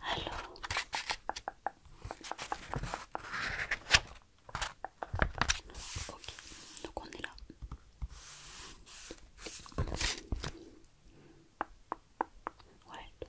Allô. ok, donc on est là. Ouais,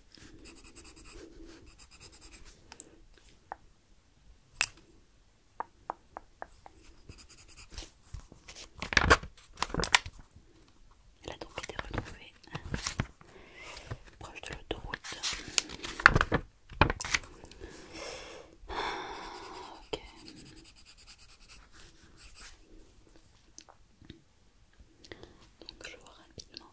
Elle a donc été retrouvée proche de l'autoroute. Ok. Donc je vois rapidement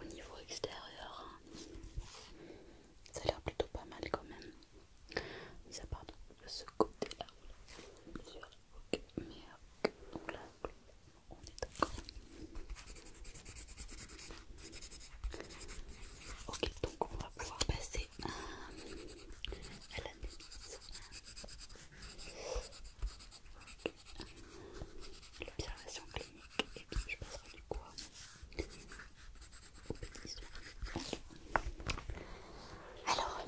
au niveau extérieur. Hein. Ça a l'air plutôt pas mal quand même. Ça part de ce côté-là. ok, donc là, on est d'accord. Ok, donc on va pouvoir passer à, la l'observation clinique et puis je passerai du quoi? Alors,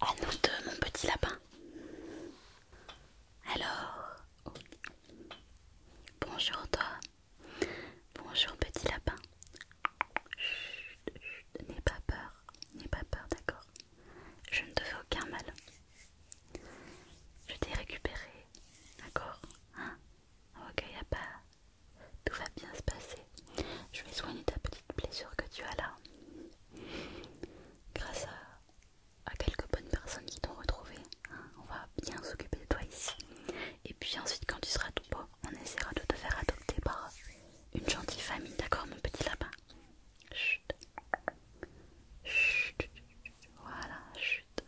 à nous deux, mon petit lapin. Alors, bonjour toi. Bonjour petit lapin. Chut, chut, n'aie pas peur, n'aie pas peur, d'accord je ne te fais aucun mal. Je t'ai récupéré, d'accord Hein Ok, y pas. Tout va bien se passer. Je vais soigner ta petite blessure que tu as là. Grâce à, quelques bonnes personnes qui t'ont retrouvé. Hein, on va bien s'occuper de toi ici. Et puis ensuite, quand tu seras tout beau, on essaiera de te faire adopter par une gentille famille, d'accord, mon petit lapin Chut. Chut, voilà, chute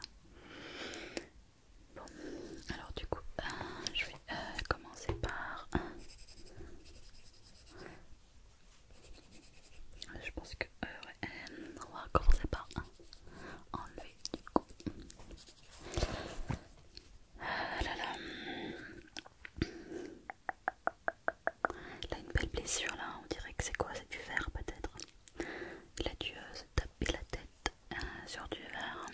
Bon, alors du coup, euh, je vais euh, commencer par. je pense que euh, ouais, on va commencer par enlever du coup. Euh, là, là. Il a une belle blessure là, on dirait que c'est quoi C'est du verre peut-être. Il a dû euh, taper la tête euh, sur du verre.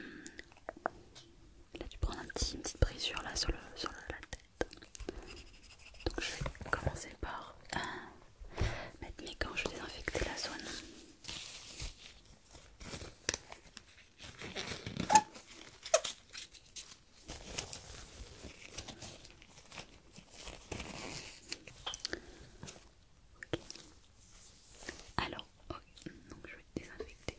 Il a dû prendre une petite brisure là sur, la tête. Donc je vais commencer par euh, mettre mes gants, je vais désinfecter la zone. Alors, ok, donc je vais désinfecter.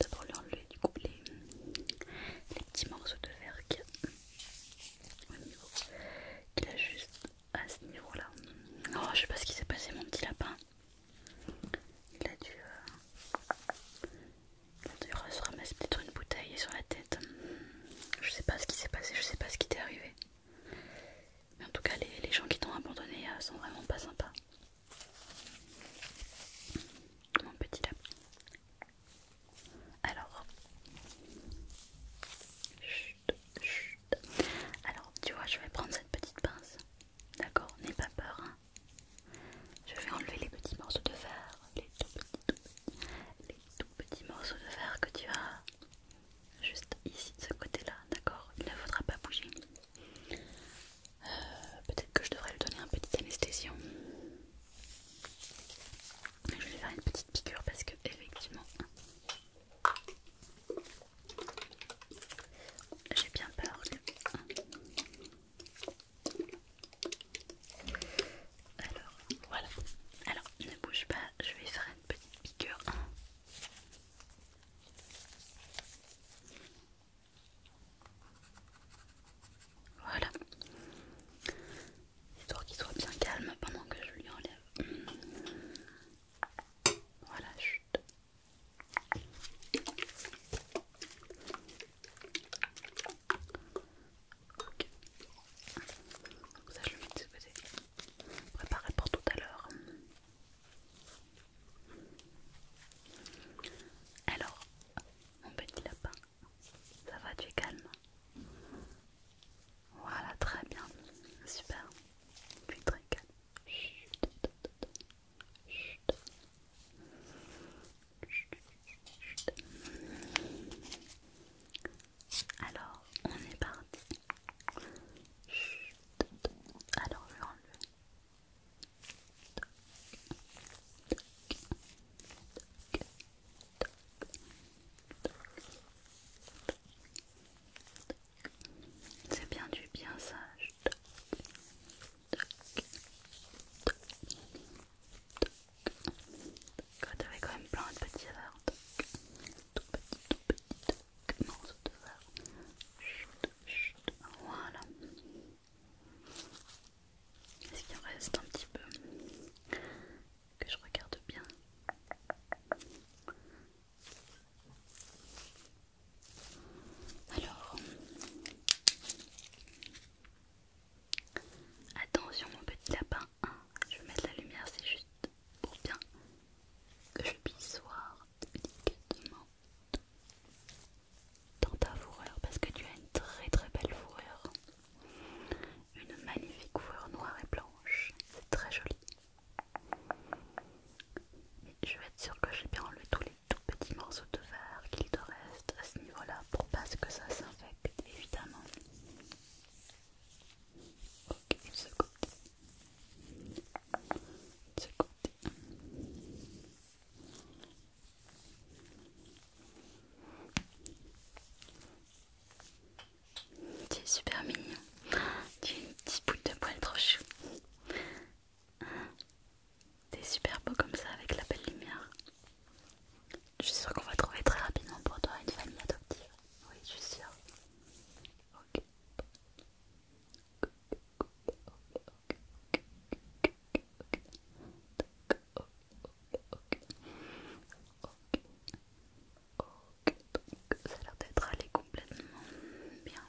D'abord lui enlever du coup les, petits morceaux de verre qui... juste à ce niveau-là. Oh, je sais pas ce qui s'est passé, mon petit lapin. Il a dû, euh, se ramasser peut une bouteille sur la tête. Je sais pas ce qui s'est passé, je sais pas ce qui t'est arrivé. Mais en tout cas, les, gens qui t'ont abandonné euh, sont vraiment pas sympas. Mon petit lapin. Alors, alors, tu vois, je vais prendre cette petite pince. D'accord N'aie pas peur. Hein. je vais enlever les petits morceaux de fer, les tout petits, morceaux de fer que tu as juste ici de ce côté-là. D'accord Il ne faudra pas bouger. Euh, peut-être que je devrais lui donner un petit anesthésion. Je vais faire une petite piqûre parce que effectivement j'ai bien peur Alors, voilà. Alors, ne bouge pas, je vais faire une petite piqûre. Voilà. Histoire qu'il soit bien calme pendant que je lui enlève. Voilà, chut. donc Ça, je le mets de ce côté. Préparé pour tout à l'heure. Alors, mon petit lapin, ça va, tu es calme voilà, très bien. Super. Tu très régales. Chut. Chut. Chut. Alors, on est parti. Chut. Alors, je l'enlève. Tac, c'est bien du bien sage. Toc, toc, quand même plein de petits verres. tout petit, tout petit, toc. Morceau de verre. Chut, chut. Voilà. Est-ce qu'il reste un petit peu que je regarde bien. Alors, attention mon petit lapin, hein, je vais mettre la lumière, c'est juste pour bien que je puisse voir délicatement dans ta fourrure parce que tu as une très très belle fourrure, une magnifique fourrure noire et blanche, c'est très joli je vais être sûre que j'ai bien enlevé tous les tout petits morceaux de verre qu'il te reste à ce niveau-là pour pas que ça s'infecte, évidemment. Ok, ce côté. Ce côté. Tu es super mignon. Tu es une petite boule de poil trop chou. T'es super beau comme ça avec la belle lumière. Je suis sûre qu'on va trouver très rapidement pour toi une famille adoptive. Oui, je suis sûre. Ok ça a l'air d'être allé complètement bien.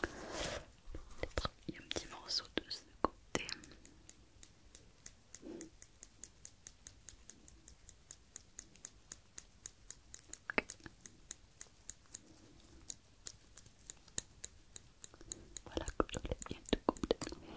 Peut-être il y a un petit morceau de ce côté. Voilà, que je l'ai bien tout complètement.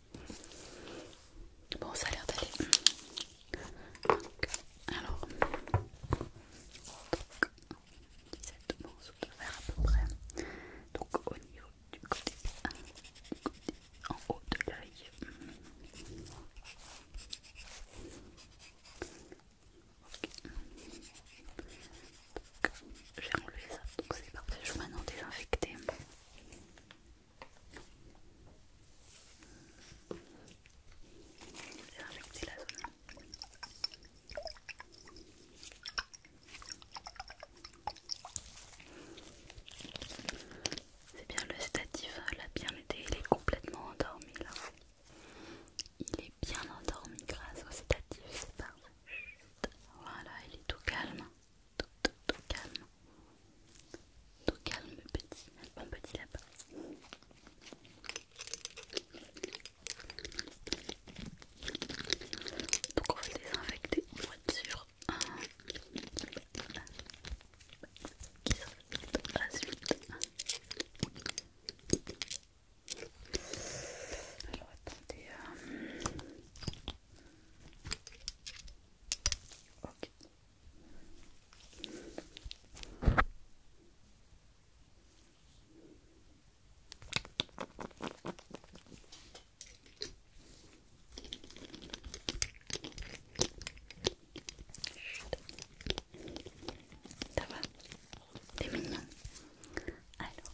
Bon, ça a l'air d'aller. Alors, donc, 17 morceaux de verre à peu près. Donc, au niveau du côté, en haut de l'œil. Donc, J'ai enlevé ça, donc c'est parfait. Je vais maintenant désinfecter. C'est bien le statif hein, a bien été, il est complètement endormi là. Il est bien endormi grâce au statif, c'est parfait. Voilà, il est tout calme tout, tout, tout calme, tout calme petit, bon petit lapin. Donc on va désinfecter pour être sûr qui s'infecte hein? à la suite. Alors attendez. Euh, ok, ça va T'es mignon Alors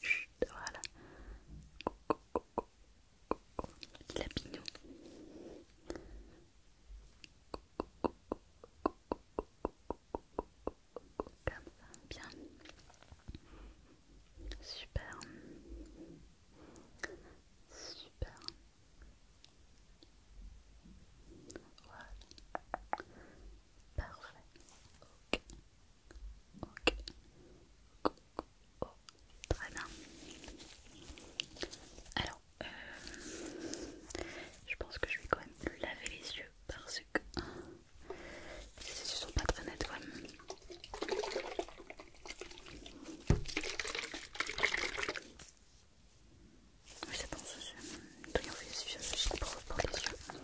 Chut, voilà. Petit lapinou. Comme ça, bien. Super. Super. Voilà. Parfait. Ok. Ok. Coucou oh. Très bien. Alors, je pense que je vais quand même laver les yeux parce que les yeux sont pas très nets quand même. Je c'est que c'est triomphe des yeux, c'est pour, pour les yeux.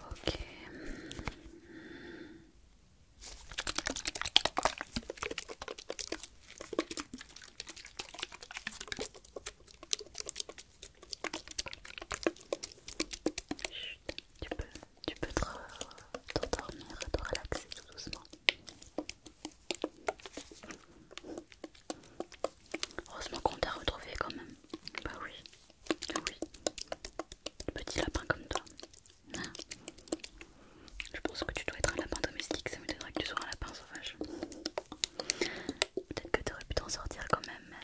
Ok. Chut, tu peux, tu peux te, t'endormir, te relaxer tout doucement. Heureusement qu'on t'a retrouvé quand même. Bah oui, ah oui. Petit lapin comme toi. Hein. Je pense que tu dois être un lapin domestique, ça m'étonnerait que tu sois un lapin sauvage. Peut-être que aurais pu t'en sortir quand même.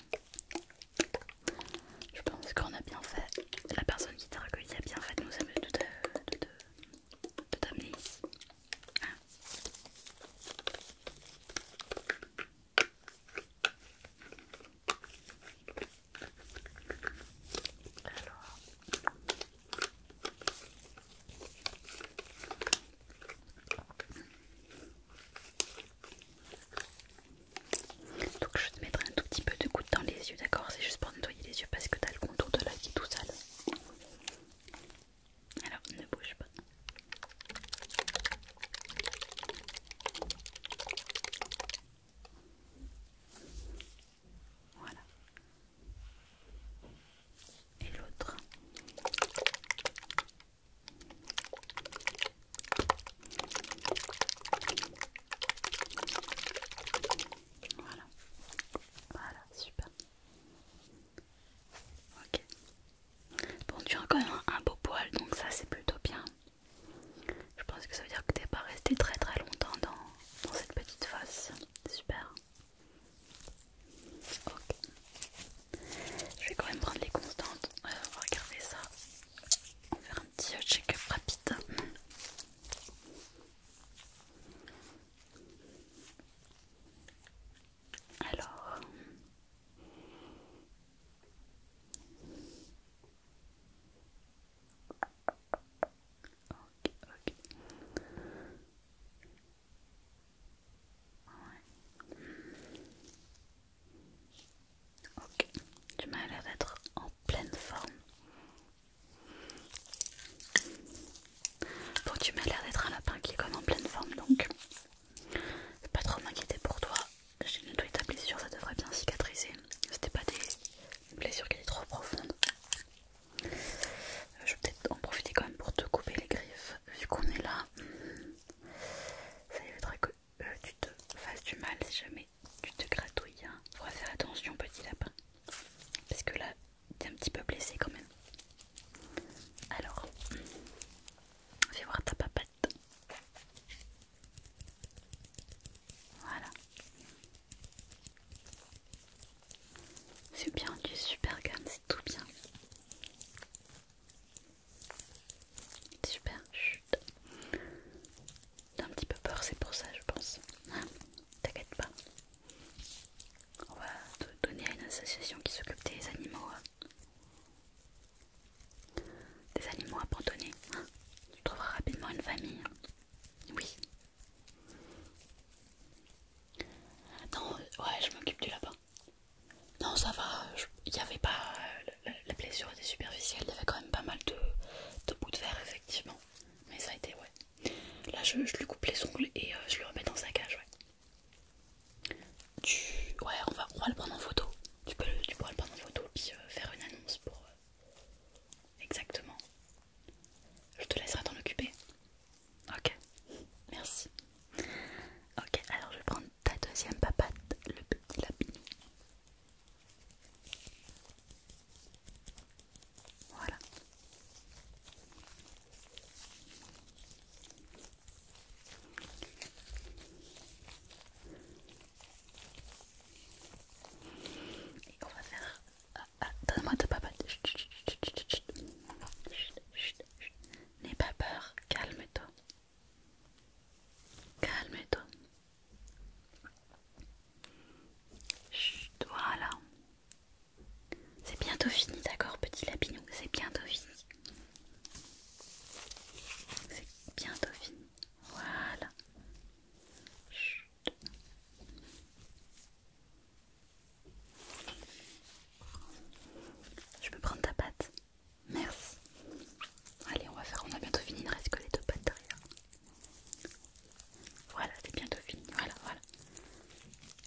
Je pense qu'on a bien fait. La personne qui t'a recueilli a bien fait nous, de, de, de, de donc je vais te mettre un tout petit peu de goutte dans les yeux, d'accord C'est juste pour nettoyer les yeux parce que t'as le contour de l'œil qui tout sale. Alors ne bouge pas. Voilà. Et l'autre. Voilà. Voilà, super. Ok. Bon, tu as quand même un beau poil, donc ça c'est plutôt bien. Je pense que ça veut dire que tu n'es pas resté très très longtemps dans, cette petite fosse. Super. Ok. Je vais quand même prendre les constantes. Euh, on va regarder ça. On va faire un petit check-up rapide. Alors, ok, ok. Ok, tu m'as l'air d'être en pleine forme. Bon, tu m'as l'air d'être un lapin qui est comme en pleine forme donc. Pas trop m'inquiéter pour toi. J'ai nettoyé ta blessure, ça devrait bien cicatriser. C'était pas des blessures qui étaient trop profondes. je vais peut-être en profiter quand même pour te couper les griffes vu qu'on est là. Ça éviterait que euh, tu te fasses du mal si jamais tu te gratouilles, hein. faire attention, petit lapin. Parce que là, t'es un petit peu blessé quand même. Alors, fais voir ta papette. Voilà. C'est bien, tu es super gun c'est tout bien. Super, chut. T'as un petit peu peur, c'est pour ça, je pense t'inquiète pas. On va te donner à une association qui s'occupe des animaux. Hein. des animaux abandonnés. tu trouveras rapidement une famille. Hein. Oui. Non, ouais, je m'occupe du lapin. Non, ça va, il n'y avait pas. La, blessure était superficielle, il y avait quand même pas mal de, de bouts de verre, effectivement. Mais ça a été, ouais. Là, je, lui coupe les ongles et euh, je le remets dans sa cage. Ouais, tu... ouais on, va, le prendre en photo. Tu, peux, pourras le prendre en photo puis euh, faire une annonce pour. Euh, exactement. Je te laisserai t'en occuper. Ok, merci. Ok, alors je vais prendre ta deuxième papate, le petit lapin. Voilà. Et on va faire... Ah, ah Donne-moi de papa. Chut, N'aie pas peur, calme-toi. Calme-toi. Chut, voilà. C'est bientôt fini, d'accord, petit lapinou C'est bientôt fini. C'est bientôt fini. Voilà. Je peux prendre ta pâte Merci. Allez, on va faire, on a bientôt fini, il ne reste que les deux pattes derrière. Voilà, c'est bientôt fini. Voilà, voilà.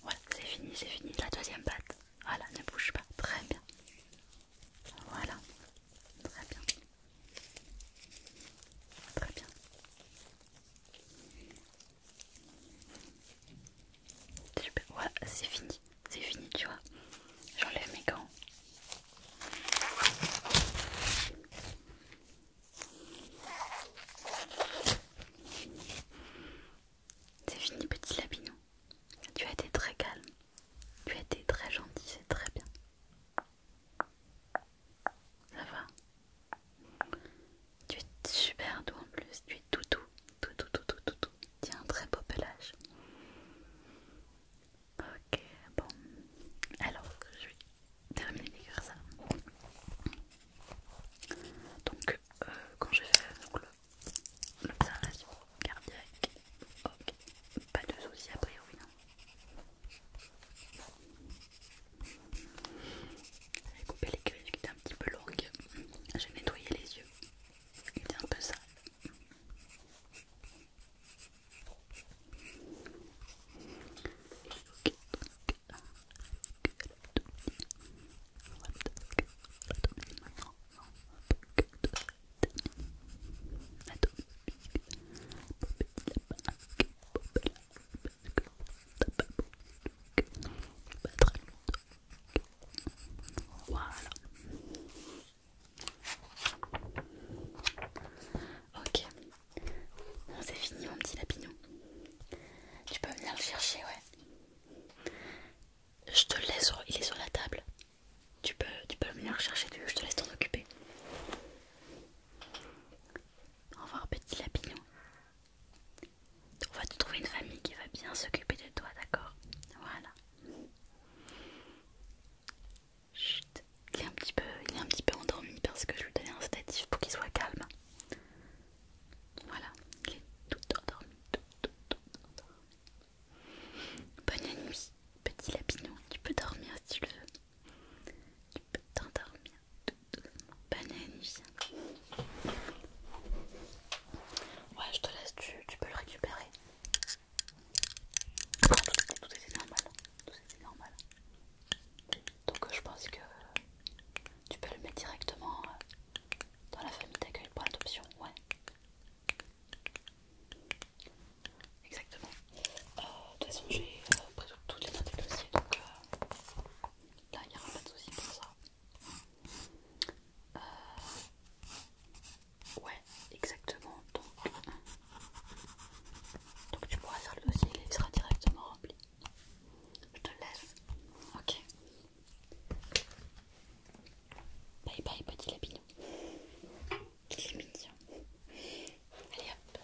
Voilà, c'est fini, c'est fini. La deuxième patte. Voilà, ne bouge pas. Très bien. Voilà. Très bien. Très bien. Voilà, c'est fini. C'est fini, tu vois. J'enlève mes gants. C'est fini petit lapinon. Tu as été très calme. Tu as été très gentil, c'est très bien. Ça va Tu es super doux en plus. Tu es tout doux. Tout toutou tout Tu as un très beau pelage. Ok, bon. Alors, je vais terminé d'écrire ça. Donc, euh, quand j'ai fait l'observation cardiaque, pas de soucis a priori. Non. J'ai coupé les cuisses qui étaient un petit peu longs. J'ai nettoyé les yeux. Il un peu sale. Voilà. Ok. Bon, c'est fini, mon petit lapinon, Tu peux venir le chercher, ouais. Je te laisse, il est sur la table. Tu peux, tu peux venir le chercher, je te laisse t'en occuper. Au revoir, petit lapinon, On va te trouver une famille qui va bien s'occuper de toi, d'accord Voilà. Chut. Il est un petit peu, il un petit peu endormi parce que je lui donnais un statif pour qu'il soit calme. Voilà, il est tout endormi, Bonne nuit, petit lapinon. Tu peux dormir si tu le veux. Tu peux t'endormir Bonne nuit. Ouais, je te laisse. Tu, peux le récupérer. tout était normal. Tout était normal. Donc je pense que tu peux le mettre directement euh, dans la famille d'accueil pour l'adoption. Ouais. Exactement. Euh, de toute façon, j'ai euh, pris toutes les notes dossiers, donc là, il n'y aura pas de souci pour ça. ouais, exactement. Donc, donc tu pourras faire le dossier, il sera directement rempli. Je te laisse. Ok. Bye bye petit lapin. Il est mignon. Allez hop.